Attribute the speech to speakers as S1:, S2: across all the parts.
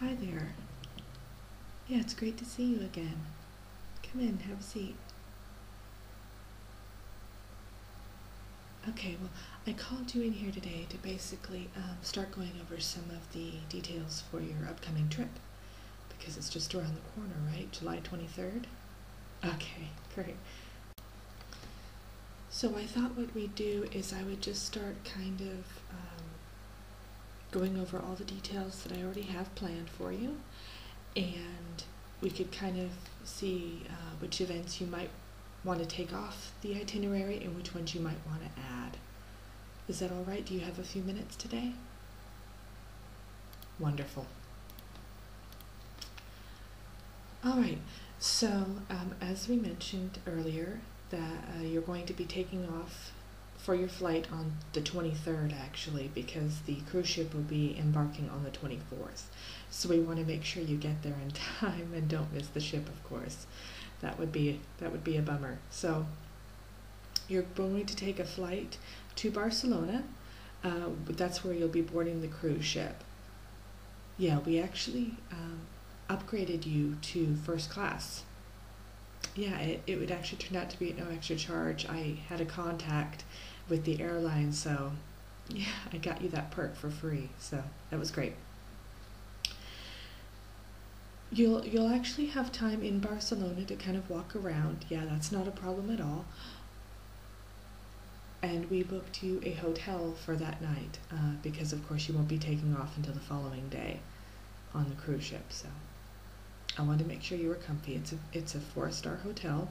S1: Hi there. Yeah, it's great to see you again. Come in, have a seat. Okay, well, I called you in here today to basically um, start going over some of the details for your upcoming trip because it's just around the corner, right? July 23rd? Okay, great. So I thought what we'd do is I would just start kind of um, going over all the details that I already have planned for you and we could kind of see uh, which events you might want to take off the itinerary and which ones you might want to add. Is that all right? Do you have a few minutes today? Wonderful. All right, so um, as we mentioned earlier, that uh, you're going to be taking off for your flight on the 23rd actually because the cruise ship will be embarking on the 24th so we want to make sure you get there in time and don't miss the ship of course that would be that would be a bummer so you're going to take a flight to barcelona uh, that's where you'll be boarding the cruise ship yeah, we actually um, upgraded you to first class. Yeah, it, it would actually turn out to be no extra charge. I had a contact with the airline, so yeah, I got you that perk for free. So that was great. You'll you'll actually have time in Barcelona to kind of walk around. Yeah, that's not a problem at all. And we booked you a hotel for that night uh, because, of course, you won't be taking off until the following day on the cruise ship. So I wanted to make sure you were comfy. It's a, it's a four star hotel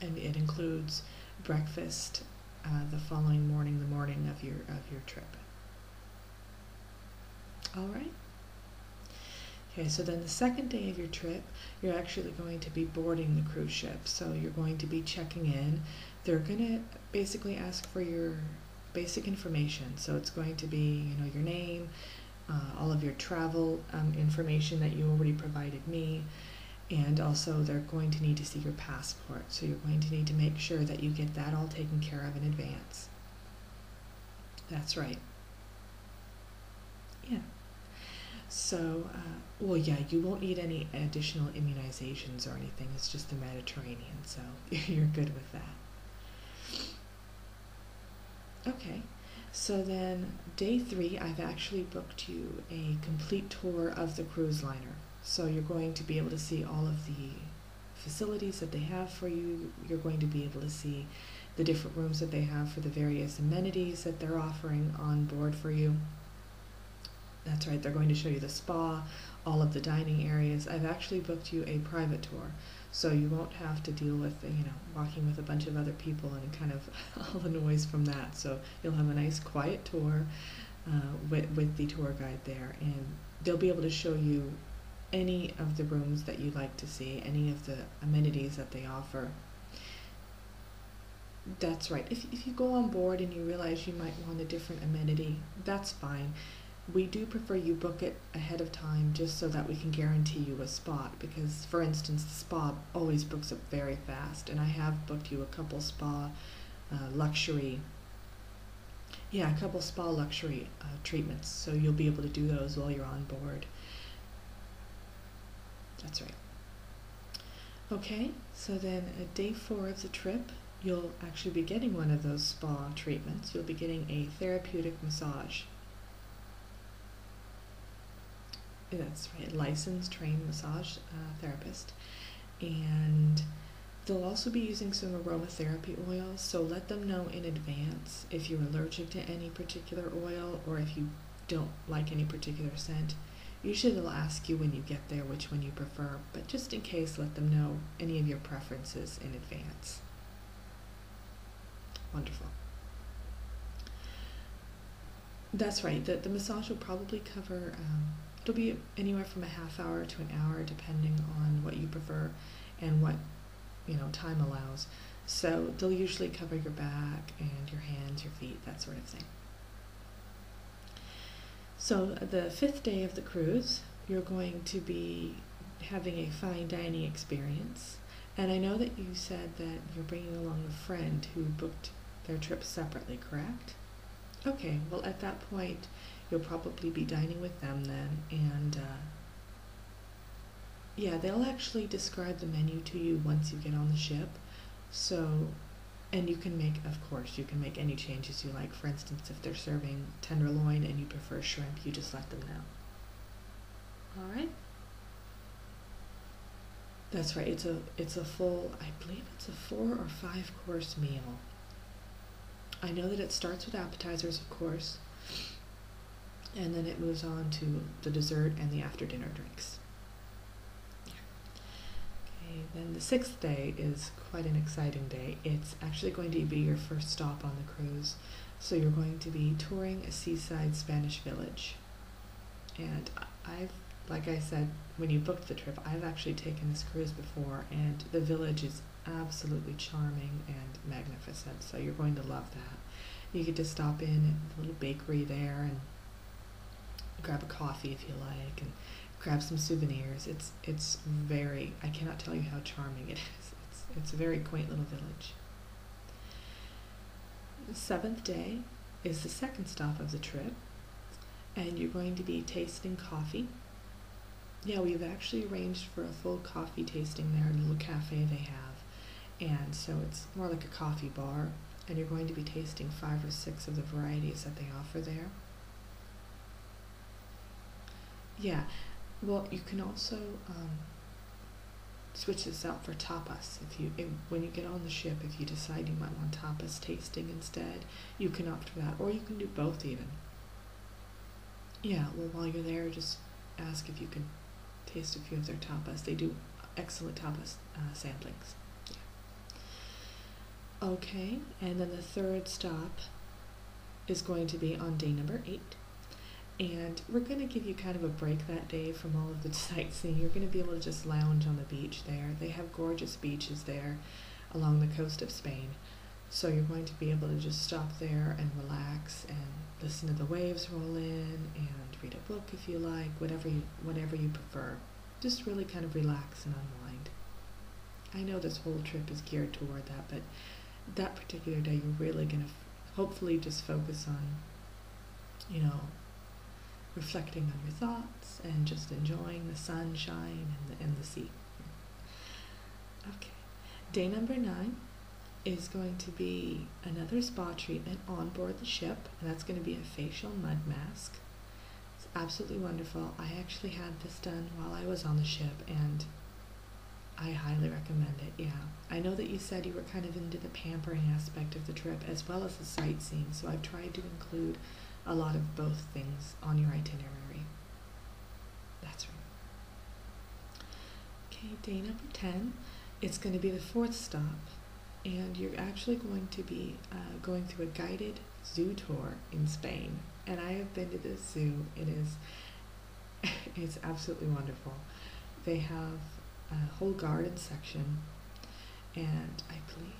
S1: and it includes breakfast uh, the following morning, the morning of your, of your trip. All right. Okay, so then the second day of your trip, you're actually going to be boarding the cruise ship. So you're going to be checking in. They're going to basically ask for your basic information. So it's going to be, you know, your name, uh, all of your travel um, information that you already provided me. And also, they're going to need to see your passport. So you're going to need to make sure that you get that all taken care of in advance. That's right. Yeah. So, uh, well, yeah, you won't need any additional immunizations or anything. It's just the Mediterranean, so you're good with that. Okay. So then, day three, I've actually booked you a complete tour of the cruise liner. So you're going to be able to see all of the facilities that they have for you. You're going to be able to see the different rooms that they have for the various amenities that they're offering on board for you. That's right, they're going to show you the spa, all of the dining areas. I've actually booked you a private tour, so you won't have to deal with, you know, walking with a bunch of other people and kind of all the noise from that. So you'll have a nice quiet tour uh, with, with the tour guide there, and they'll be able to show you any of the rooms that you like to see, any of the amenities that they offer. That's right. If, if you go on board and you realize you might want a different amenity, that's fine. We do prefer you book it ahead of time just so that we can guarantee you a spot because, for instance, the spa always books up very fast, and I have booked you a couple spa uh, luxury, yeah, a couple spa luxury uh, treatments, so you'll be able to do those while you're on board. That's right. Okay, so then at day four of the trip, you'll actually be getting one of those spa treatments. You'll be getting a therapeutic massage. That's right, licensed, trained massage uh, therapist. And they'll also be using some aromatherapy oils, so let them know in advance if you're allergic to any particular oil or if you don't like any particular scent. Usually they'll ask you when you get there which one you prefer, but just in case, let them know any of your preferences in advance. Wonderful. That's right, the, the massage will probably cover, um, it'll be anywhere from a half hour to an hour depending on what you prefer and what you know, time allows. So they'll usually cover your back and your hands, your feet, that sort of thing. So the fifth day of the cruise, you're going to be having a fine dining experience. And I know that you said that you're bringing along a friend who booked their trip separately, correct? Okay, well, at that point, you'll probably be dining with them then, and uh, yeah, they'll actually describe the menu to you once you get on the ship. So, and you can make, of course, you can make any changes you like. For instance, if they're serving tenderloin and you prefer shrimp, you just let them know. All right. That's right. It's a it's a full. I believe it's a four or five course meal. I know that it starts with appetizers, of course, and then it moves on to the dessert and the after dinner drinks. Okay, then the sixth day is quite an exciting day. It's actually going to be your first stop on the cruise. So you're going to be touring a seaside Spanish village. And I've, like I said, when you booked the trip, I've actually taken this cruise before, and the village is absolutely charming and magnificent. So you're going to love that. You get to stop in at the little bakery there and grab a coffee if you like and grab some souvenirs. It's it's very I cannot tell you how charming it is. It's it's a very quaint little village. seventh day is the second stop of the trip, and you're going to be tasting coffee. Yeah, we've actually arranged for a full coffee tasting there a little cafe they have, and so it's more like a coffee bar, and you're going to be tasting five or six of the varieties that they offer there. Yeah, well, you can also um, switch this out for tapas. If you when you get on the ship, if you decide you might want tapas tasting instead, you can opt for that, or you can do both even. Yeah, well, while you're there, just ask if you can taste a few of their tapas. They do excellent tapas uh, samplings. Okay, and then the third stop is going to be on day number eight. And we're going to give you kind of a break that day from all of the sightseeing. You're going to be able to just lounge on the beach there. They have gorgeous beaches there along the coast of Spain. So you're going to be able to just stop there and relax and listen to the waves roll in and read a book if you like, whatever you, whenever you prefer. Just really kind of relax and unwind. I know this whole trip is geared toward that, but that particular day you're really going to hopefully just focus on, you know, reflecting on your thoughts and just enjoying the sunshine and the, and the sea. Okay, day number nine is going to be another spa treatment on board the ship, and that's going to be a facial mud mask. It's absolutely wonderful. I actually had this done while I was on the ship, and I highly recommend it. Yeah, I know that you said you were kind of into the pampering aspect of the trip as well as the sightseeing, so I've tried to include a lot of both things on your itinerary. That's right. Okay, day number 10, it's going to be the fourth stop, and you're actually going to be uh, going through a guided zoo tour in Spain. And I have been to this zoo. It is it's absolutely wonderful. They have a whole garden section, and I believe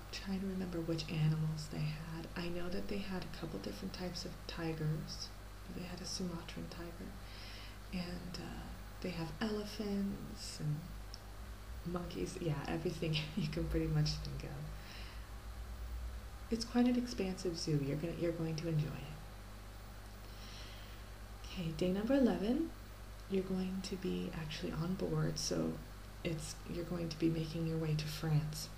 S1: I'm trying to remember which animals they had. I know that they had a couple different types of tigers they had a Sumatran tiger, and uh, they have elephants and monkeys. Yeah, everything you can pretty much think of. It's quite an expansive zoo. You're gonna you're going to enjoy it. Okay, day number eleven. You're going to be actually on board, so it's you're going to be making your way to France.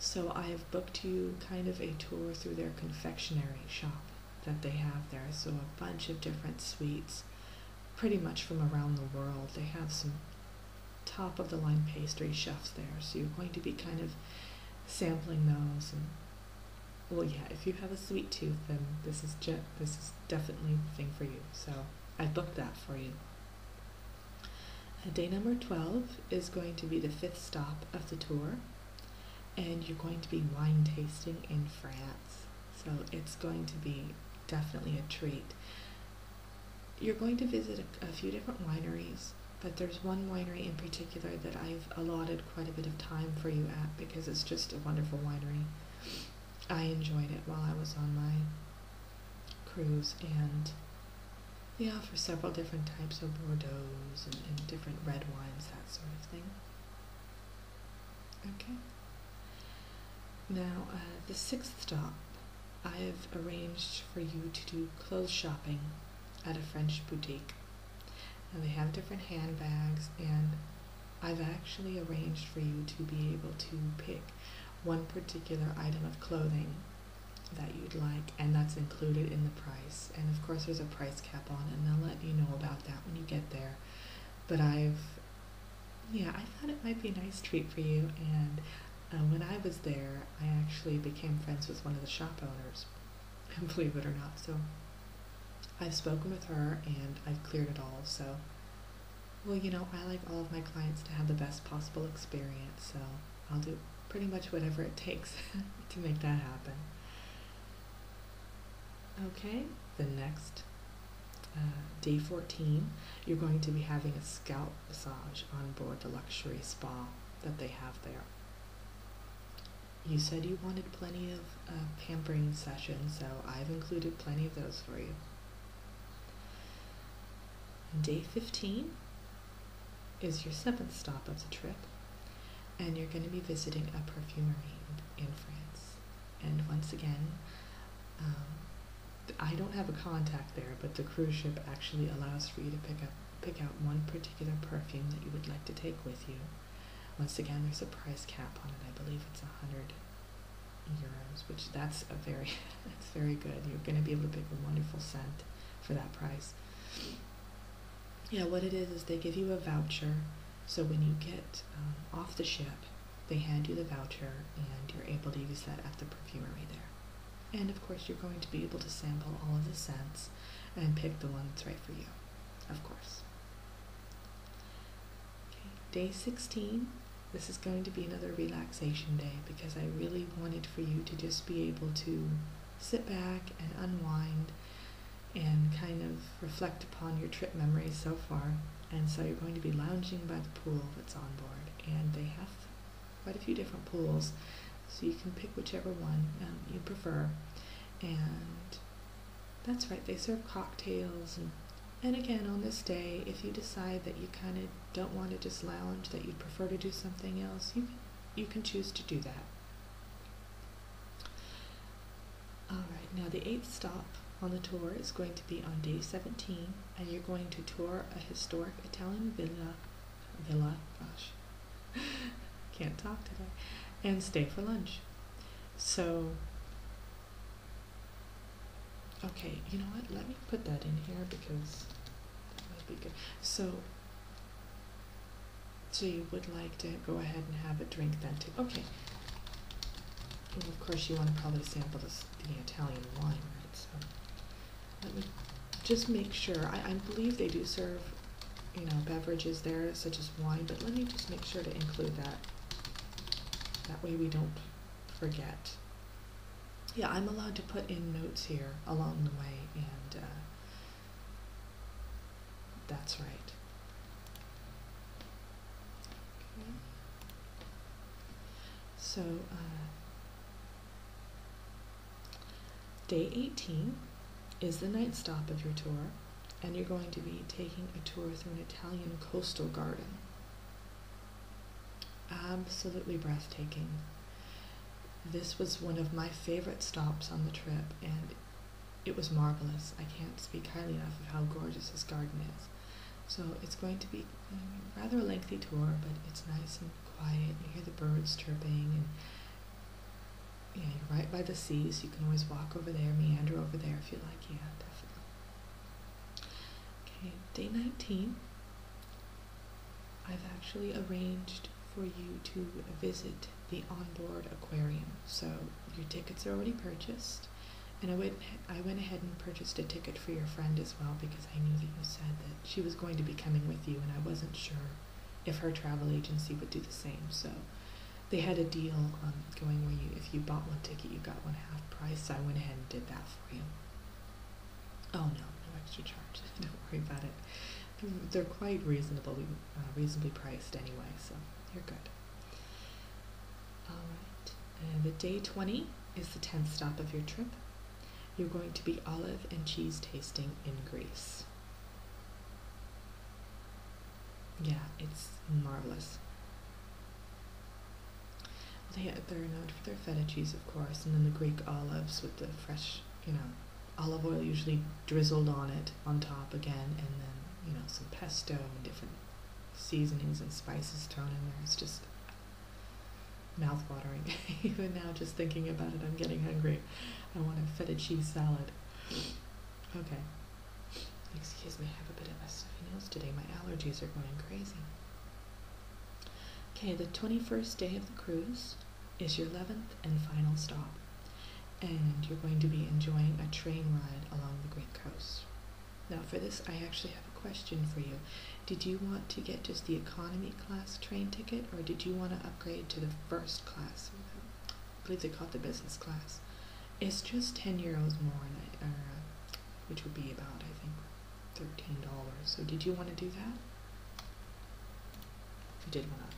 S1: So I've booked you kind of a tour through their confectionery shop that they have there. So a bunch of different sweets, pretty much from around the world. They have some top of the line pastry chefs there. So you're going to be kind of sampling those well yeah, if you have a sweet tooth then this is this is definitely the thing for you. So I booked that for you. Uh, day number 12 is going to be the fifth stop of the tour, and you're going to be wine tasting in France. So it's going to be definitely a treat. You're going to visit a, few different wineries, but there's one winery in particular that I've allotted quite a bit of time for you at because it's just a wonderful winery. I enjoyed it while I was on my cruise and they offer several different types of Bordeaux's and, different red wines, that sort of thing. Okay. Now, uh, the sixth stop, I've arranged for you to do clothes shopping at a French boutique. And they have different handbags, and I've actually arranged for you to be able to pick one particular item of clothing that you'd like, and that's included in the price. And of course, there's a price cap on, and they'll let you know about that when you get there. But I've, yeah, I thought it might be a nice treat for you. And uh, when I was there, I actually became friends with one of the shop owners, believe it or not. So I've spoken with her, and I've cleared it all. So, well, you know, I like all of my clients to have the best possible experience. So, I'll do pretty much whatever it takes to make that happen. Okay, the next uh, day 14, you're going to be having a scalp massage on board the luxury spa that they have there. You said you wanted plenty of uh, pampering sessions, so I've included plenty of those for you. Day 15, is your seventh stop of the trip, and you're going to be visiting a perfumery in, France. And once again, um, I don't have a contact there, but the cruise ship actually allows for you to pick up pick out one particular perfume that you would like to take with you. Once again, there's a price cap on it. I believe it's a hundred euros, which that's a very that's very good. You're going to be able to pick a wonderful scent for that price. Yeah, what it is is they give you a voucher. So when you get um, off the ship, they hand you the voucher and you're able to use that at the perfumery there. And of course, you're going to be able to sample all of the scents and pick the one that's right for you, of course. day 16. This is going to be another relaxation day because I really wanted for you to just be able to sit back and unwind and kind of reflect upon your trip memories so far. And so you're going to be lounging by the pool that's on board. And they have quite a few different pools, so you can pick whichever one um, you prefer. And that's right, they serve cocktails. and again, on this day, if you decide that you kind of don't want to just lounge, that you'd prefer to do something else, you can, you can choose to do that. All right, now the eighth stop on the tour is going to be on day 17, and you're going to tour a historic Italian villa, villa, gosh, can't talk today, and stay for lunch. So, okay, you know what, let me put that in here because so, so you would like to go ahead and have a drink then too? Okay. of course, you want to probably sample this, the Italian wine, right? So, let me just make sure. I, I believe they do serve, you know, beverages there such as wine, but let me just make sure to include that. That way we don't forget yeah, I'm allowed to put in notes here along the way, and uh, that's right. So, uh, day 18 is the night stop of your tour, and you're going to be taking a tour through an Italian coastal garden. Absolutely breathtaking. This was one of my favorite stops on the trip, and it was marvelous. I can't speak highly enough of how gorgeous this garden is. So it's going to be rather a lengthy tour, but it's nice and quiet. You hear the birds chirping, and you you're right by the sea, so you can always walk over there, meander over there if you like. Yeah, definitely. Okay, day 19. I've actually arranged for you to visit the onboard aquarium. So your tickets are already purchased, and I went I went ahead and purchased a ticket for your friend as well because I knew that you said that she was going to be coming with you, and I wasn't sure if her travel agency would do the same. So they had a deal um, going where you if you bought one ticket, you got one half price. So I went ahead and did that for you. Oh no, no extra charge. Don't worry about it. Mm, they're, quite reasonably uh, reasonably priced anyway, so you're good. All right. the day twenty is the tenth stop of your trip. You're going to be olive and cheese tasting in Greece. Yeah, it's marvelous. They, they're known for their feta cheese, of course, and then the Greek olives with the fresh, you know, olive oil usually drizzled on it on top again, and then, you know, some pesto and different seasonings and spices thrown in there. It's just mouthwatering. Even now, just thinking about it, I'm getting hungry. I want a feta cheese salad. Okay. Excuse me, I have a bit of a stuffy nose today. My allergies are going crazy. Okay, the 21st day of the cruise is your 11th and final stop, and you're going to be enjoying a train ride along the Greek coast. Now, for this, I actually have a question for you. Did you want to get just the economy class train ticket, or did you want to upgrade to the first class? I believe they call the business class. It's just 10 euros more, uh, which would be about, I think, $13. So did you want to do that? If you did want to.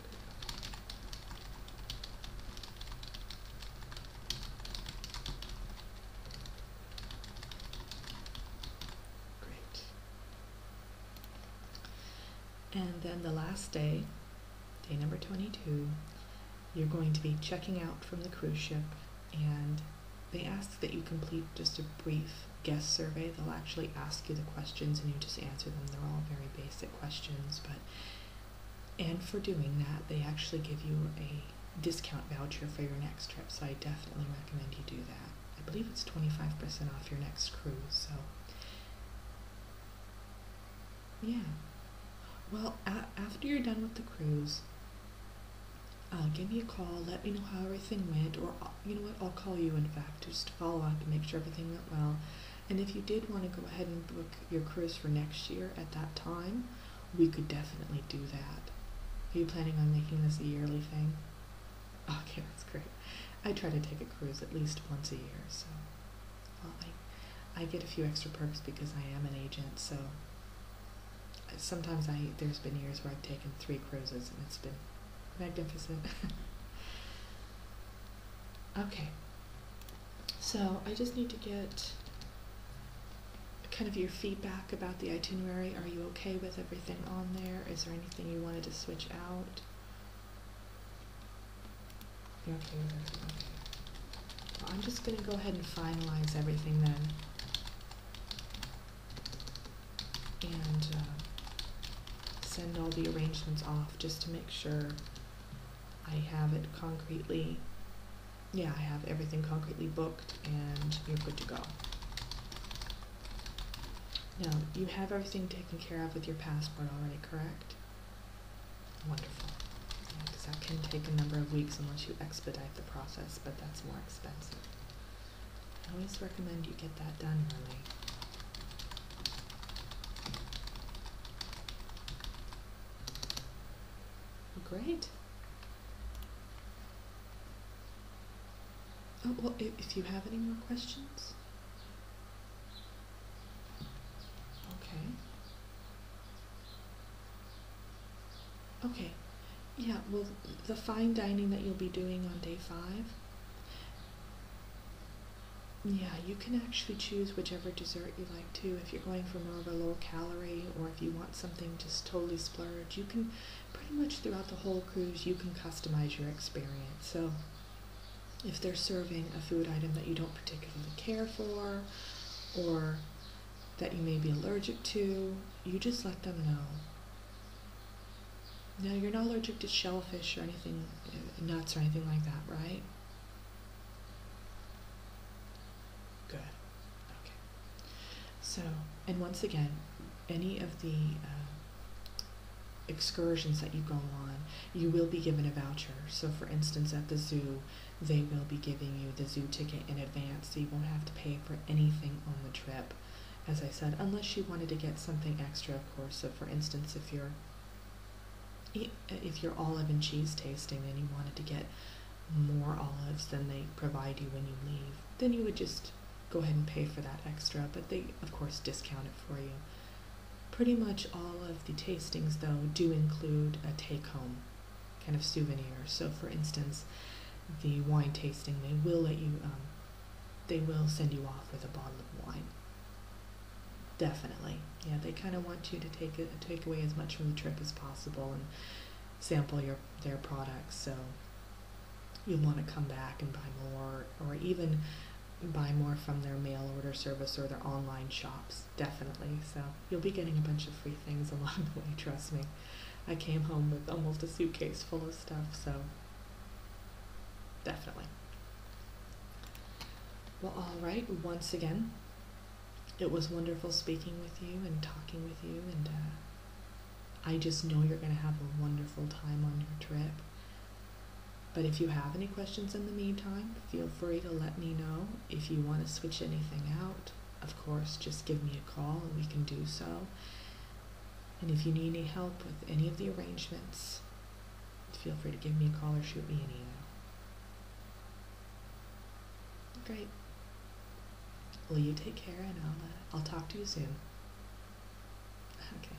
S1: Great. And then the last day, day number 22, you're going to be checking out from the cruise ship and they ask that you complete just a brief guest survey. They'll actually ask you the questions and you just answer them. They're all very basic questions, but and for doing that, they actually give you a discount voucher for your next trip. So I definitely recommend you do that. I believe it's 25% off your next cruise. So yeah. Well, after you're done with the cruise, uh, give me a call, let me know how everything went, or uh, you know what, I'll call you in fact just follow up and make sure everything went well. And if you did want to go ahead and book your cruise for next year at that time, we could definitely do that. Are you planning on making this a yearly thing? Okay, that's great. I try to take a cruise at least once a year, so well, I, I get a few extra perks because I am an agent, so sometimes I there's been years where I've taken three cruises and it's been magnificent. okay. So I just need to get kind of your feedback about the itinerary. Are you okay with everything on there? Is there anything you wanted to switch out? okay I'm just going to go ahead and finalize everything then and uh, send all the arrangements off just to make sure I have it concretely. Yeah, I have everything concretely booked and you're good to go. Now, you have everything taken care of with your passport already, correct? Wonderful. Because that can take a number of weeks unless you expedite the process, but that's more Spencer, I always recommend you get that done early. Oh, great. Oh, well, if you have any more questions. Okay. Okay, yeah, well, the fine dining that you'll be doing on day five, yeah, you can actually choose whichever dessert you like to. If you're going for more of a low calorie or if you want something just totally splurge, you can pretty much throughout the whole cruise, you can customize your experience. So if they're serving a food item that you don't particularly care for or that you may be allergic to, you just let them know. Now, you're not allergic to shellfish or anything, uh, nuts or anything like that, right? Good. Okay. So, and once again, any of the uh, excursions that you go on, you will be given a voucher. So, for instance, at the zoo, they will be giving you the zoo ticket in advance so you won't have to pay for anything on the trip. As I said, unless you wanted to get something extra, of course. So, for instance, if you're if you're olive and cheese tasting and you wanted to get more olives than they provide you when you leave, then you would just go ahead and pay for that extra, but they, of course, discount it for you. Pretty much all of the tastings, though, do include a take home kind of souvenir. So, for instance, the wine tasting, they will let you, um, they will send you off with a bottle of wine. Definitely, yeah. They kind of want you to take it, take away as much from the trip as possible and sample your their products. So you'll want to come back and buy more, or even buy more from their mail order service or their online shops. Definitely, so You'll be getting a bunch of free things along the way, trust me. I came home with almost a suitcase full of stuff, so definitely. Well, all right, once again, it was wonderful speaking with you and talking with you, and uh, I just know you're going to have a wonderful time on your trip. But if you have any questions in the meantime, feel free to let me know if you want to switch anything out of course, just give me a call and we can do so. And if you need any help with any of the arrangements, feel free to give me a call or shoot me an email. Great. Will you take care and I'll, uh, I'll talk to you soon. Okay.